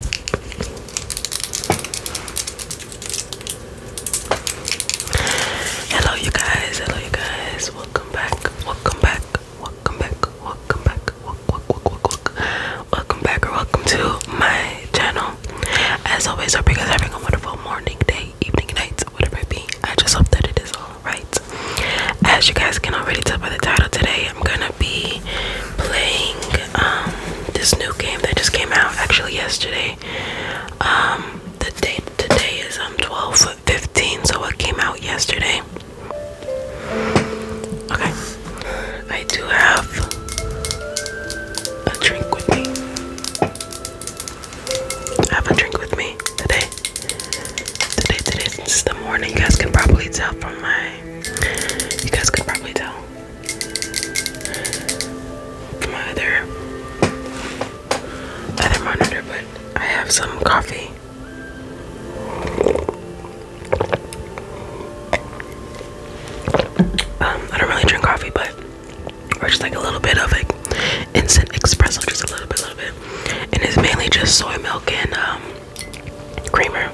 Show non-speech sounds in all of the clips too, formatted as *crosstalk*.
Hello, you guys. Hello, you guys. Welcome back. Welcome back. Welcome back. Welcome back. Welcome, back or welcome to my channel. As always, I hope you guys are having a wonderful morning, day, evening, night, whatever it be. I just hope that it is all right. As you guys can already tell by the title today I'm gonna be playing um, this new game that just came out actually yesterday. Um, the date today is um 12:15, so it came out yesterday. Okay, I do have a drink with me. have a drink with me today. Today, today, it's the morning. You guys can probably tell from my. You guys can probably tell my other other monitor, but I have some coffee. Um, I don't really drink coffee, but we're just like a little bit of like instant espresso, just a little bit, little bit, and it's mainly just soy milk and um creamer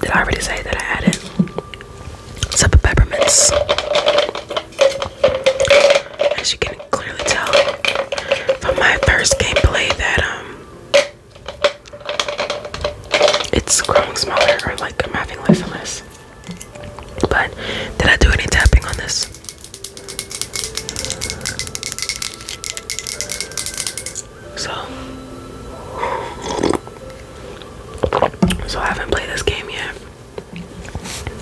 did I already say that I added some peppermints? As you can clearly tell from my first gameplay that um it's growing smaller or like I'm having less and less. But did I do any tapping on this? So, so I haven't played this game yet.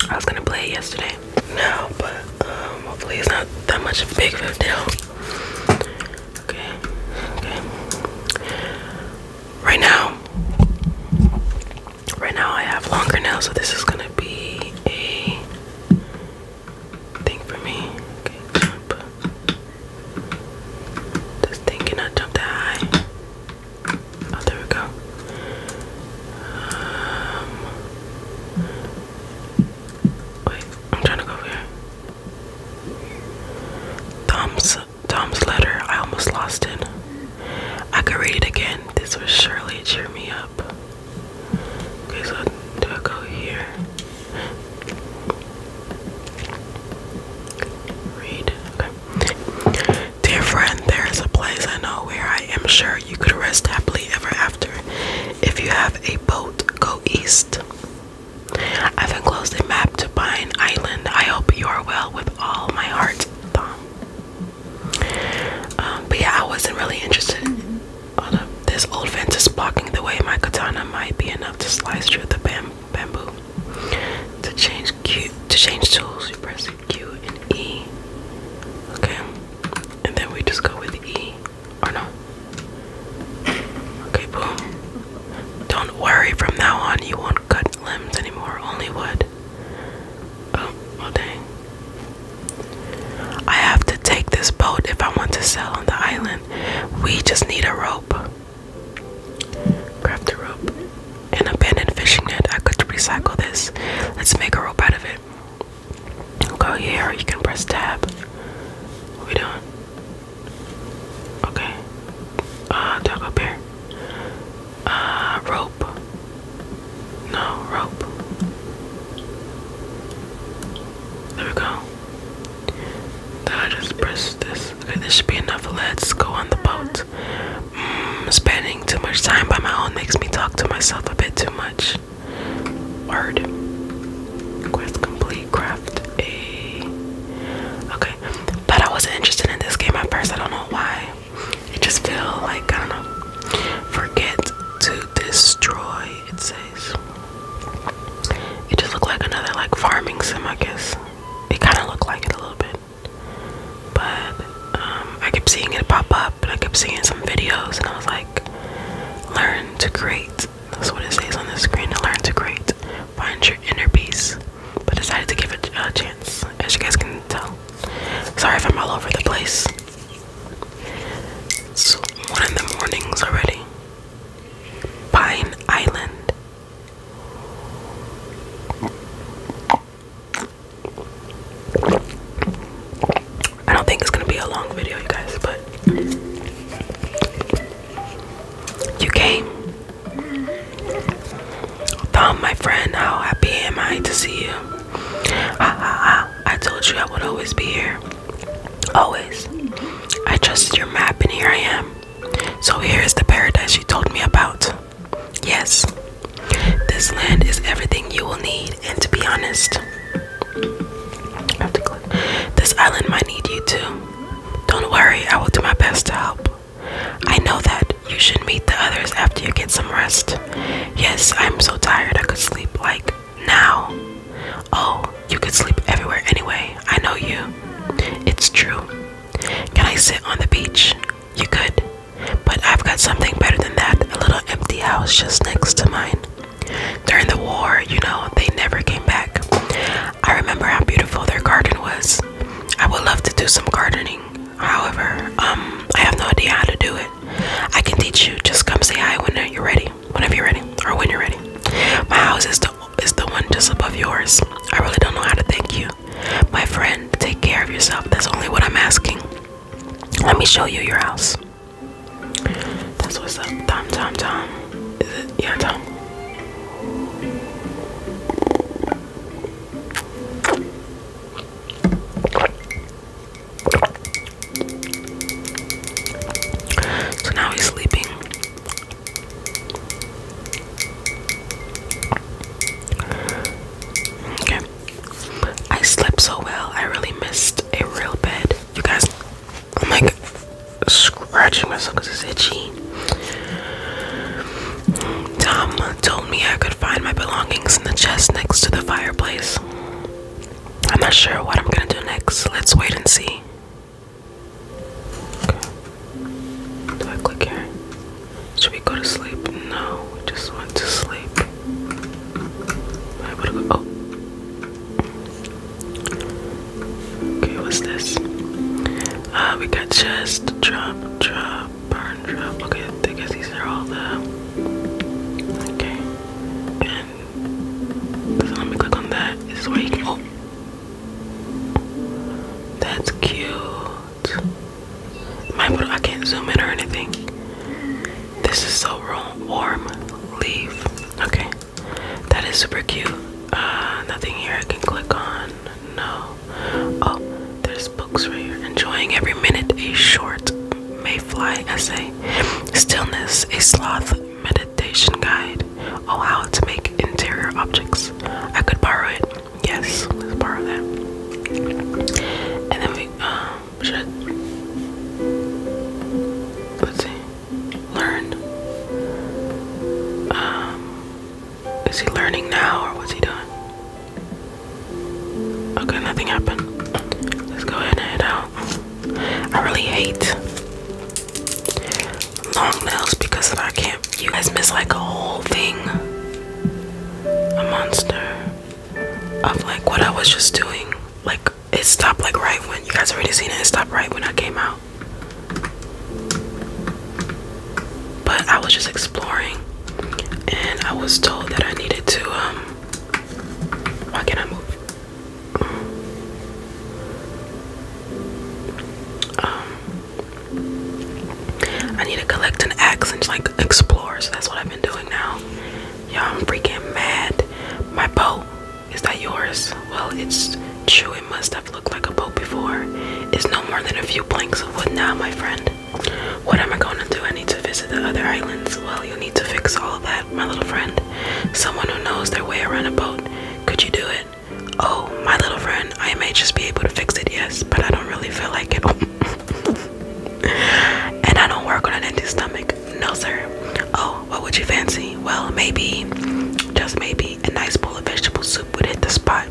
I was gonna play it yesterday. No, but um, hopefully it's not that much of a big of a deal. Okay, okay. Right now, right now I have longer nails, so this is gonna be a thing for me. Okay, jump. This thing cannot jump that high. Oh, there we go. Um, wait, I'm trying to go over here. Tom's Tom's letter. I almost lost it. I could read it again. This would surely cheer me up. Okay, so do I go here? Read. Dear friend, there is a place I know where I am sure you could rest happily ever after. If you have a boat, go east. I've enclosed a map to Pine Island. I hope you are well with all my heart, um, but yeah, I wasn't really interested Oh, this old fence is blocking the way. My katana might be enough to slice through the bam bamboo. To change Q to change tools, you press Q and E. Okay. And then we just go with E. Or oh, no. Okay, boom. Don't worry, from now on you won't cut limbs anymore, only wood. Oh, well dang. I have to take this boat if I want to sail on the island. We just need a rope. Craft a rope. and An abandoned fishing net. I could recycle this. Let's make a rope out of it. Go here, you can press tab. we doing? Okay. Uh talk up here. Uh rope. No, rope. There we go. Then I just press this. Okay, this should be enough. Let's go on the boat. Mm, spending too much time by my own makes me talk to myself a bit too much. Word. Quest complete. Craft a. Okay, but I wasn't interested in this game at first. I don't know why. It just feel like I do Forget to destroy. It guys. It just looked like another like farming sim, I guess. It kind of looked like it a little bit, but um, I kept seeing it pop up, and I kept seeing some videos, and I was like, "Learn to create." That's what it says on the screen. learn to create, find your inner peace. But decided to give it a chance, as you guys can tell. Sorry if I'm all over the place. It's one in the mornings already. Pine Island. I don't think it's gonna be a long video, you guys, but you came. Tom, my friend, how happy am I to see you? I told you I would always be here. Always. I trusted your map, and here I am. So here is the paradise you told me about. Yes, this land is everything you will need, and to be honest, this island might need you too. Don't worry, I will do my best to help. I know that you should meet the others after you get some rest. Yes, I'm so tired I could sleep like now. Oh, you could sleep everywhere anyway. I know you. It's true. Can I sit on the beach? You could. But I've got something better than that a little empty house just next to mine. During the war, you know, they never came back. I remember how beautiful their garden was. I would love to do some gardening. However, um, I have no idea how to do it. I can teach you. Just come say hi when you're ready whenever you're ready or when you're ready. My house is the is the one just above yours. I really don't know how to thank you. My friend, take care of yourself. That's only what I'm asking. Let me show you your house. That's what's up. Tom, Tom, Tom. Is it? Yeah, Tom. So now he's sleeping. Okay. I slept so well. I really missed a real bed. You guys, I'm like scratching myself it's itchy. Tom told me I could find my belongings in the chest next to the fireplace. I'm not sure what I'm gonna do next. Let's wait and see. Okay. Do I click here? Should we go to sleep? No, we just want to sleep. I would go. Oh. Okay, what's this? Uh, we got chest, drop, drop, burn, drop. Okay, I guess these are all the. Okay let me click on that. This where you can. Oh, that's cute. My I can't zoom in or anything. This is so warm. Leave. Okay, that is super cute. Uh, nothing here I can click on. No. Oh, there's books right here. Enjoying every minute. A short mayfly essay. Stillness. A sloth meditation guide. Oh, how to make interior objects. I could borrow it. Yes, let's borrow that. And then we, um, should let's see, learn. Um, is he learning now or what's he doing? Okay, nothing happened. Let's go ahead and I really hate long nails because I can't. You guys missed like a whole thing. A monster of like what I was just doing. Like it stopped like right when you guys already seen it. It stopped right when I came out. But I was just exploring, and I was told that I needed to. Um, why can't I move? Um, I need to collect an axe and like explore. So that's what I've been doing now. Yeah, I'm freaking mad. My boat is that yours? Well, it's true. It must have looked like a boat before. It's no more than a few planks of wood now, my friend. What am I going to do? I need to visit the other islands. Well, you need to fix all that my little friend. Someone who knows their way around a boat. Could you do it? Oh, my little friend, I may just be able to fix it, yes, but I don't really feel like it. *laughs* and I don't work on an empty stomach. No, sir. Oh, what would you fancy? Well, maybe, just maybe, a nice bowl of vegetable soup would hit the spot.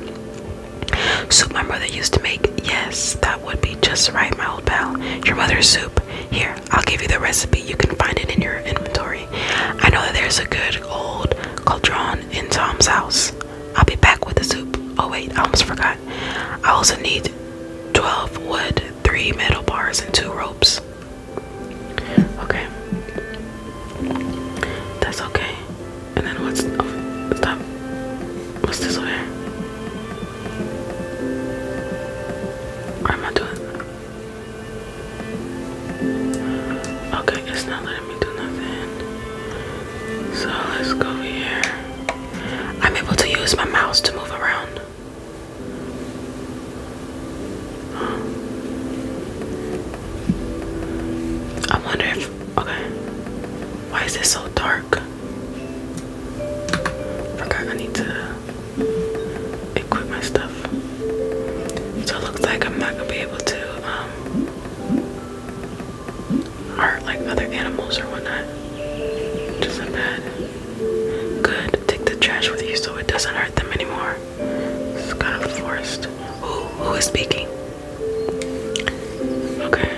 Soup my mother used to make. Yes, that would be just right, my old pal. Your mother's soup. Here, I'll give you the recipe. You can find it in your inventory. I know that there's a good old cauldron in Tom's house. I'll be back with the soup. Oh wait, I almost forgot. I also need 12 wood, 3 metal bars, and 2 ropes. Okay. That's okay. And then what's oh, stop. What's this over here? am I doing Okay, it's not letting me do nothing. So let's go here. I'm able to use my mouse to move around. I wonder if. Okay. Why is it so dark? Forgot I need to equip my stuff. So it looks like I'm not gonna be able to um hurt like other animals or whatnot. Which is bad. Good, take the trash with you so it doesn't hurt them anymore. It's kind of forced. Who who is speaking? Okay.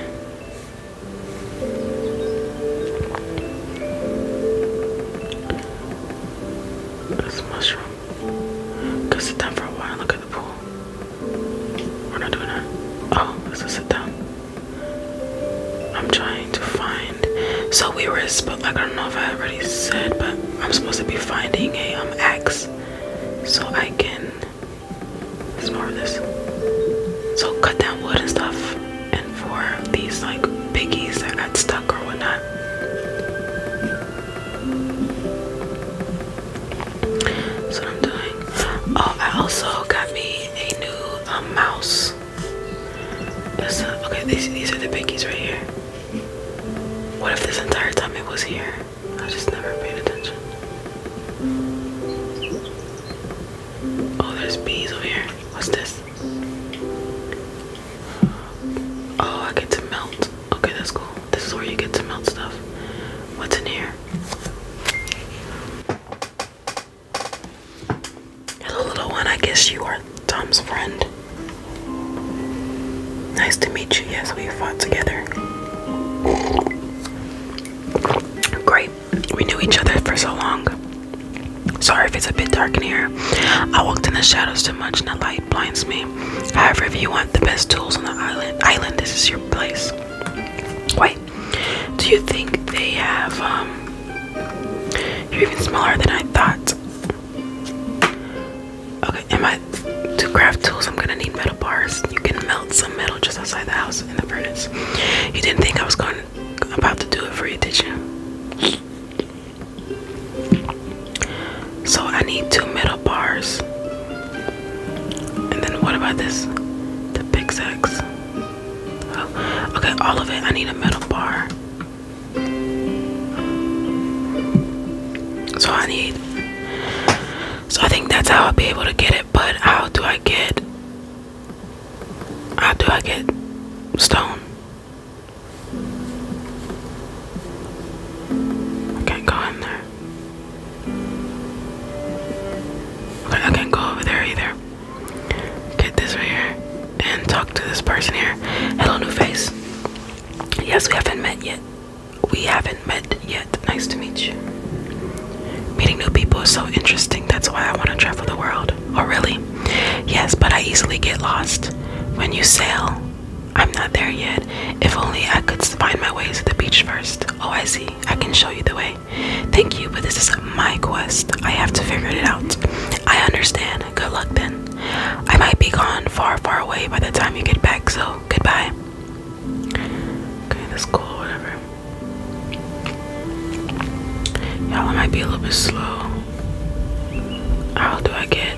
That's mushroom. Go sit down for a while and look at the pool. We're not doing that. Oh, let's just sit down. I'm trying to find. So we were supposed, like I don't know if I already said, but I'm supposed to be finding a um axe, so I can. It's more of this. So cut down wood and stuff, and for these like piggies that got stuck or whatnot. That's what I'm doing. Oh, I also got me a new um, mouse. That's a, okay, these, these are the pickies right here. What if this entire time it was here? I just never paid attention. Oh, there's bees over here. What's this? Oh, I get to melt. Okay, that's cool. This is where you get to melt stuff. What's in here? little one. I guess you are Tom's friend. Nice to meet you. Yes, we fought together. Great. We knew each other for so long. Sorry if it's a bit dark in here. I walked in the shadows too much and the light blinds me. However, if you want the best tools on the island, island this is your place. Wait, do you think they have um, you're even smaller than I thought. Okay, am I to craft tools I'm gonna need metal bars. You can melt some metal just outside the house in the furnace. You didn't think I was going about to do it for you, did you? So I need two middle bars. And then what about this? The big sex. Oh, okay, all of it. I need a middle bar. So I need. So I think that's how I'll be able to get it. But how do I get? How do I get stone? I can't go in there. Okay, I can't go over there either. Get this right here and talk to this person here. Hello, new face. Yes, we haven't met yet. We haven't met yet. Nice to meet you. Meeting new people is so interesting. That's why I want to travel the world. Oh, really? Yes, but I easily get lost. When you sail, I'm not there yet. If only I could find my way to the beach first. Oh, I see. I can show you the way. Thank you, but this is my quest. I have to figure it out. I understand. Good luck then. I might be gone far, far away by the time you get back, so goodbye. Okay, that's cool, whatever. Y'all, I might be a little bit slow. How do I get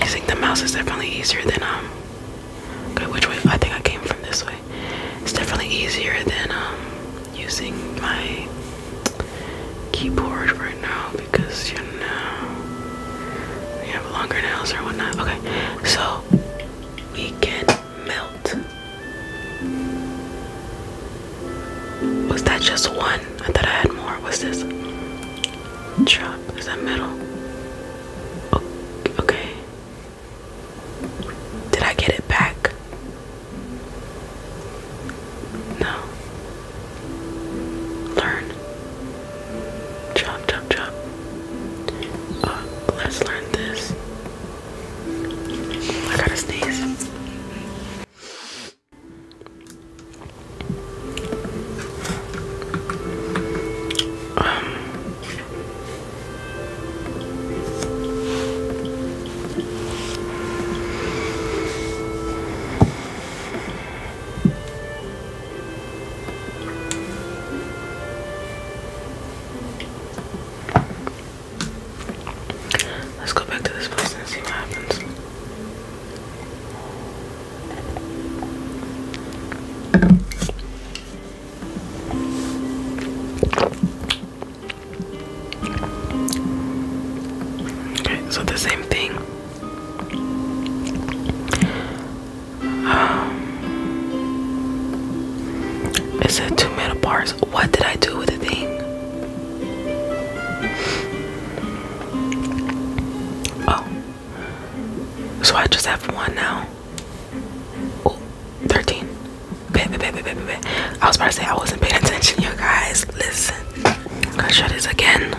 I think the mouse is definitely easier than um, Okay, which way? I think I came from this way. It's definitely easier than um, using my keyboard right now because you know you have longer nails or whatnot. Okay, so we can melt. Was that just one? I thought I had more. Was this? Chop, is that metal? Oh, okay. Did I get it back? No. Learn. Chop, chop, chop. Uh, let's learn this. I gotta sneeze. Let's go back to this place and see what happens. Okay, so the same thing. Um, it said two metal bars. What did I do with the thing? Oh. So I just have one now. Oh, 13. Bet, bet, bet, bet, I was about to say I wasn't paying attention, you guys. Listen. Let's try this again.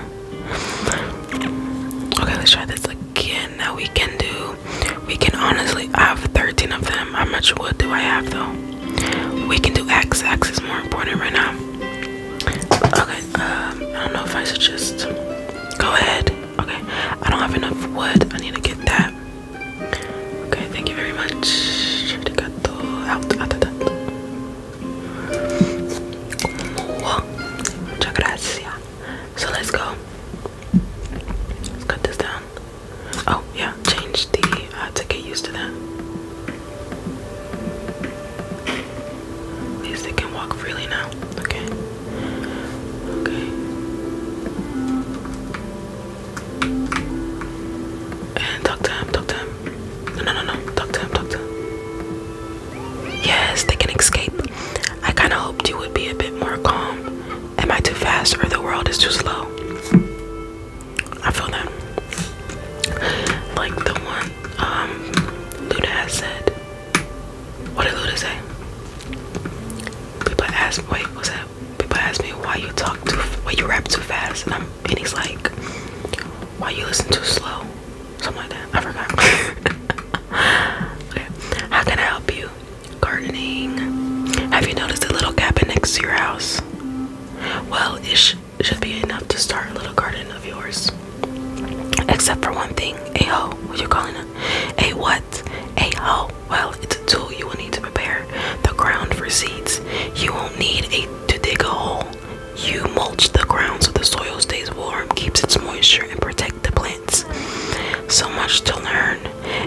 Okay, let's try this again. Now we can do. We can honestly. I have 13 of them. How much wood do I have though? We can do X. X is more important right now. Okay, um, I don't know if I should just go ahead. Okay, I don't have enough wood. I need to get that. Okay, thank you very much. gracias. So let's go. Let's cut this down. Oh yeah, change the uh, to get used to that. At least they can walk freely now. Okay. Okay. And talk to him, talk to him. No, no, no, no. Talk to him, talk to him. Yes, they can escape. I kind of hoped you would be a bit more calm. Am I too fast or the world is too slow? I feel that like the one um Luda has said. What did Luda say? People ask wait, what's that? People ask me why you talk too why you rap too fast and I'm and he's like why you listen too slow? Something I forgot. *laughs* okay. How can I help you? Gardening. Have you noticed a little cabin next to your house? Well, Ish should be enough to start a little garden of yours. Except for one thing, a hoe. What you calling it? A what? A hoe. Well, it's a tool you will need to prepare the ground for seeds. You won't need a to dig a hole. You mulch the ground so the soil stays warm, keeps its moisture, and protects the plants. So much to learn.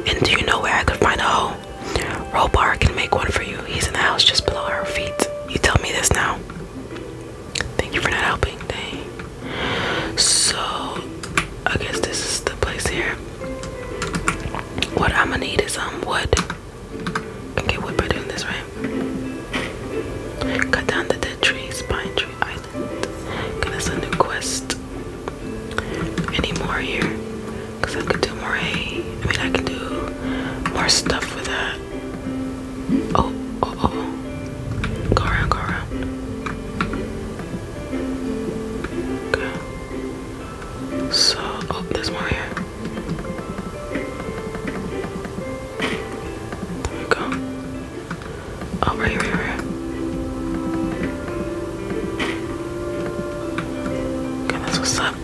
And do you know where I could find a hoe? Robar can make one for you. He's in the house just below our feet. You tell me this now. Thank you for not helping. So, I guess this is the place here. What I'm gonna need is some um, wood. Can get wood by doing this, right? Cut down the dead trees, pine tree island. Okay, that's a quest. Any more here? Cause I could do more hay. I mean, I can do more stuff with that. Uh, Oh, oh, oh. Go around, go around. Okay. So, oh, there's more here. There we go. Oh, right right Right. Okay, that's what's up.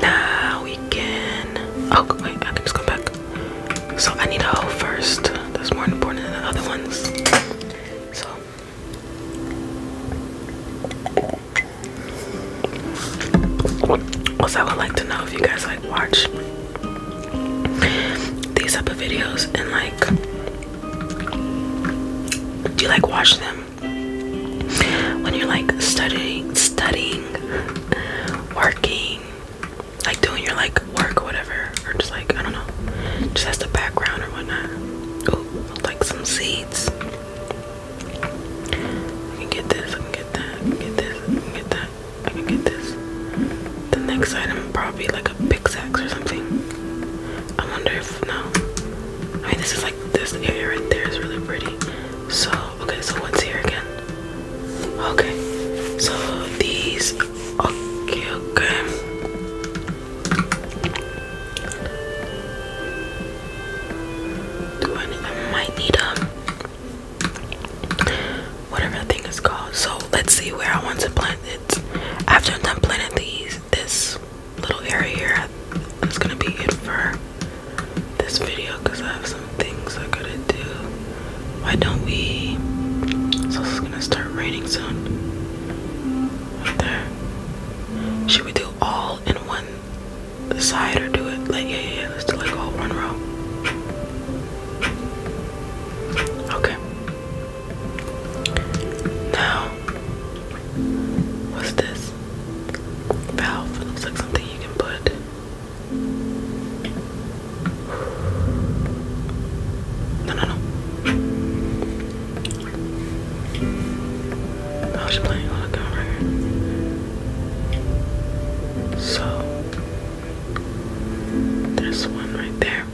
Now we can. Oh, wait, I can just go back. So I need a hoe first. That's more important than the other ones. So. Also, I would like to know if you guys like watch these type of videos and like, do you like watch them when you're like studying, studying working, like doing your like work or whatever, or just like I don't know, just as the background or whatnot. Oh, like some seeds. I can get this. I can get that. I can get this. get that. I can get this. The next item probably like a pickaxe or something. I wonder if no. I mean, this is like this area right there is really pretty. So, okay, so what's here again? Okay, so these, okay, okay. I, might need um whatever thing is called. So let's see where I want to plant it. After I'm done planting these, this little area here, it's gonna be it for this video because I have some things I gotta do. Why don't we? So it's gonna start raining soon. Right there. Should we do all in one side or do it like yeah yeah Let's do like all one row. Okay. Now, what's this? Valve. looks like something you can put. No, no, no. I was playing on the camera. so, this one right there.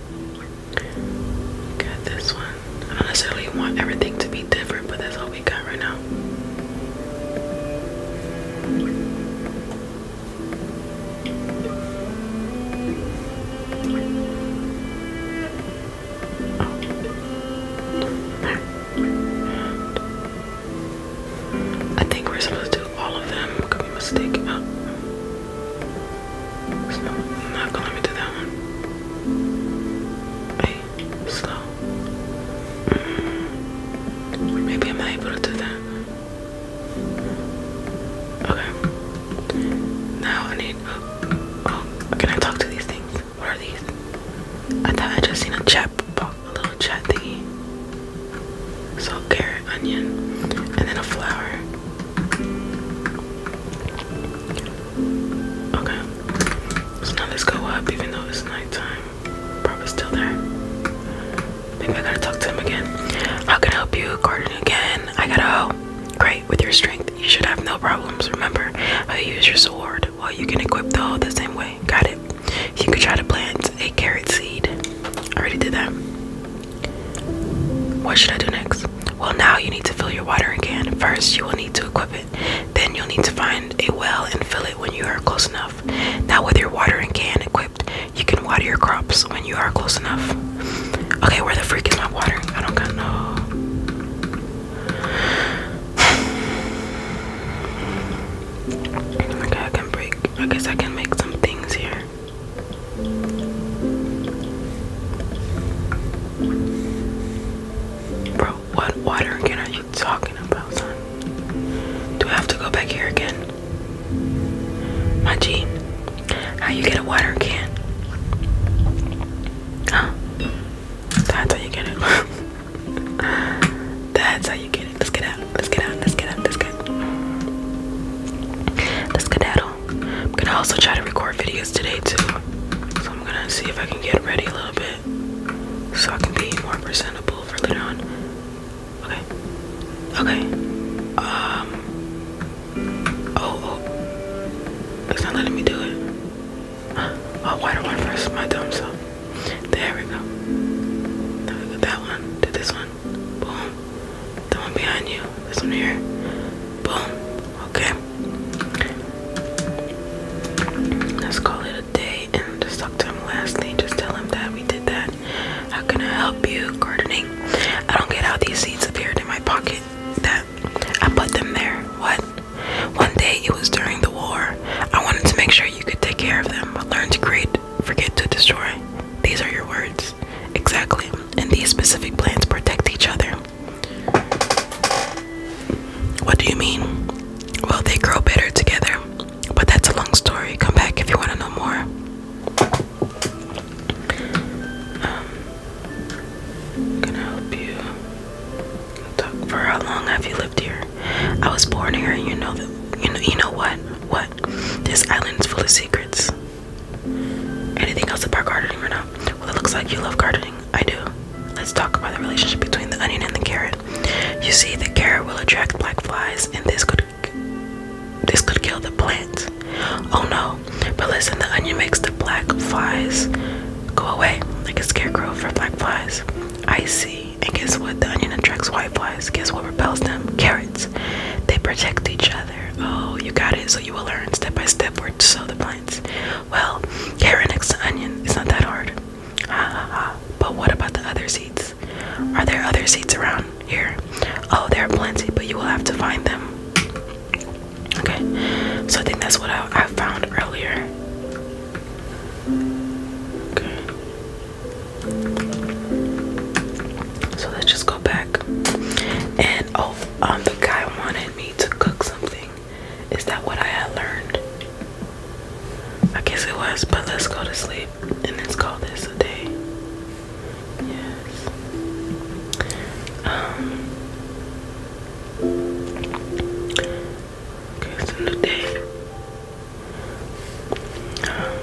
Got this one. I don't necessarily want everything to be different, but there's a we I think we're supposed to do all of them. Could be mistaken. Oh. So not gonna do that one. I slow. Mm, maybe I'm not able to do that. Okay. Now I need. Oh, oh, can I talk to these things? What are these? I thought I just seen a chat box, a little chat thingy. So carrot, onion, and then a flower. Okay. So now let's go up, even though it's nighttime. Probably still there. Maybe I gotta talk to him again. How can I help you, Garden again? I gotta oh. Great, with your strength, you should have no problems. Remember how you use your sword. Well, you can equip the hoe the same way. Got it. You could try to plant a carrot seed. I already did that. What should I do next? Well, now you need to fill your watering can. First, you will need to equip it. Then you'll need to find a well and fill it when you are close enough. Now, with your watering can equipped, you can water your crops when you are close enough. Okay, where the freak is my watering? I don't got no. *sighs* Okay, I can break. I guess I can make some things here. Bro, what water can talking about, son? Do I have to go back here again? My G, how you get a water can? That's how you get it. *laughs* That's how you get it. Let's get out. Let's get out. Let's get out. Let's get out. Let's get out. I'm gonna also try to record videos today too. So I'm gonna see if I can get ready a little bit so I can be more presentable for later Okay. Okay. Um. Oh, It's oh. not letting me do it. Oh, why do I my thumb so? There we go. That one. Did this one. Boom. The one behind you. This one here. Boom. Okay. Let's call it a day and just to him lastly just tell him that we did that. How can I help you gardening? I don't get how these seeds appeared in my pocket. That I put them there. What? One day it was during the war. I wanted to make sure you could take care of them, but learn to create, forget to destroy. These are your words. Exactly. And these specific plants protect each other. What do you mean? Well, they grow better together. But that's a long story. Come back if you want to know more. Um, going help you. for how long have you lived here? I was born here, and you know that. You know, you know what? What? This island is full of secrets. Anything else about gardening or not? Well, it looks like you love gardening. I do. Let's talk about the relationship between the onion and the carrot. You see, the carrot will attract black flies, and this could this could kill the plant. Oh no! But listen, the onion makes the black flies go away, like a scarecrow for black flies. I see. And guess what? The onion attracts white flies. Guess what repels them? Carrots. They protect each other. Oh, you got it. So you will learn step by step where to sow the plants. Well, carrot next onion. is not that hard. *laughs* But what about the other seats? Are there other seats around here? Oh, there are plenty, but you will have to find them. Okay, so I think that's what I, I found earlier. Okay. So let's just go back. And oh, um, the guy wanted me to cook something. Is that what I had learned? I guess it was, but let's go to sleep and let's call this a day. Yes. Um. it's a new day. Um,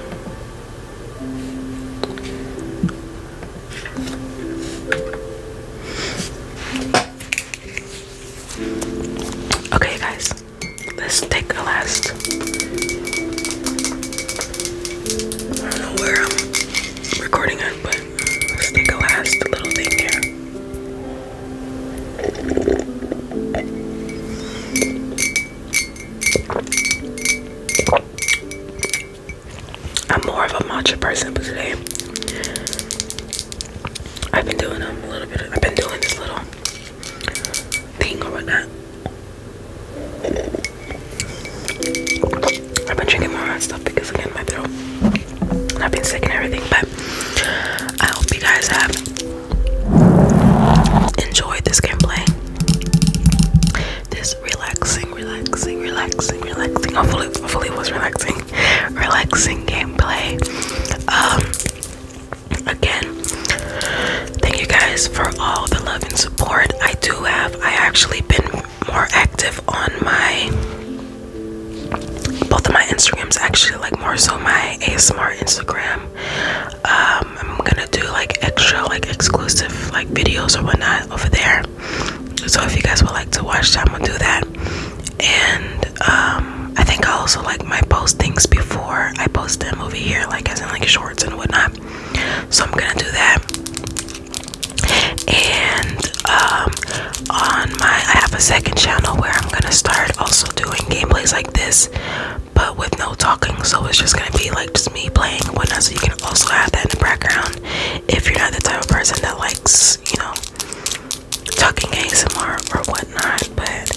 okay, guys. Let's take a last. I don't know where I'm recording on, but let's take a last little thing here. I'm more of a matcha person, but today I've been doing um, a little bit. I've been doing this little thing or whatnot. I've been drinking more hot stuff because again my throat. I've been sick and everything, but I hope you guys have enjoyed this gameplay. This relaxing, relaxing, relaxing, relaxing. Hopefully, hopefully it was relaxing, relaxing gameplay. Um again thank you guys for all the love and support i do have i actually been more active on my both of my instagrams actually like more so my asmr instagram um, i'm gonna do like extra like exclusive like videos or whatnot over there so if you guys would like to watch that i'm gonna do that and um, I think I also like my post things before I post them over here, like as in like shorts and whatnot. So I'm gonna do that. And um, on my, I have a second channel where I'm gonna start also doing gameplays like this, but with no talking. So it's just gonna be like just me playing and whatnot. So you can also have that in the background if you're not the type of person that likes, you know, talking ASMR or whatnot. But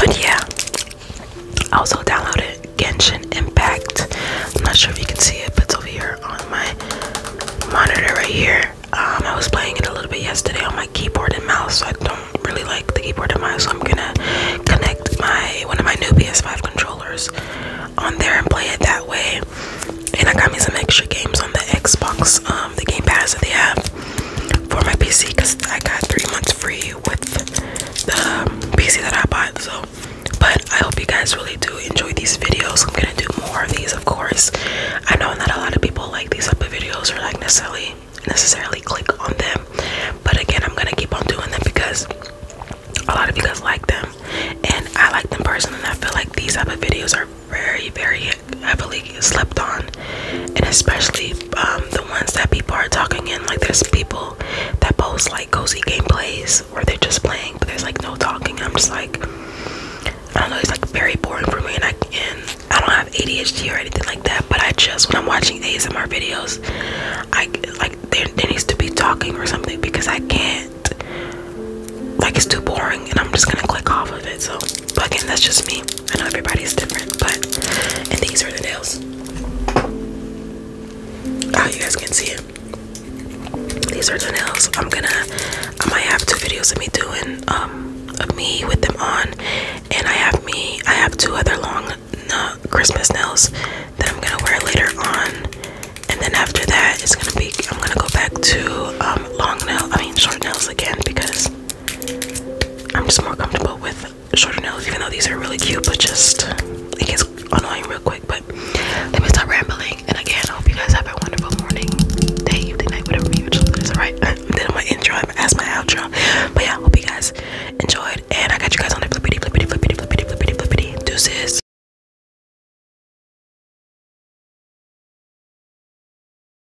but yeah, I also downloaded Genshin Impact. I'm not sure if you can see it, but it's over here on my monitor right here. Um, I was playing it a little bit yesterday on my keyboard and mouse. So I don't really like the keyboard and mouse, so I'm gonna connect my one of my new PS5 controllers on there and play it that way. And I got me some extra games on the Xbox, um, the Game Pass that they have for my PC because I got three months free with the um, PC that I bought. So, but I hope you guys really do enjoy these videos. I'm gonna do more of these, of course. I know that a lot of people like these type of videos or like necessarily necessarily click on them, but again, I'm gonna keep on doing them because a lot of you guys like them, and I like them personally. I feel like these type of videos are very, very I've heavily slept on, and especially um, the ones that people are talking in. Like there's people that post like cozy gameplays where they're just playing, but there's like no talking. I'm just like, I don't know. It's like very boring for me, and I and I don't have ADHD or anything like that. But I just when I'm watching ASMR videos, I like there, there needs to be talking or something because I can't. Like it's too boring, and I'm just gonna click off of it. So but again, that's just me. I know everybody is different, but and these are the nails. Oh, you guys can see it. These are the nails. I'm gonna I might have two videos of me doing um of me with them on and I have me I have two other long uh, Christmas nails that I'm gonna wear later on and then after that it's gonna be I'm gonna go back to um long nail I mean short nails again because I'm just more comfortable with shorter nails, even though these are really cute, but just it gets annoying real quick. But let me stop rambling. And again, hope you guys have a wonderful morning, day, evening, night, whatever you choose. All right, *laughs* then my intro, I'm as my outro. But yeah, hope you guys enjoyed, and I got you guys on the flippity, flippity, flippity, flippity, flippity, flippity, deuces.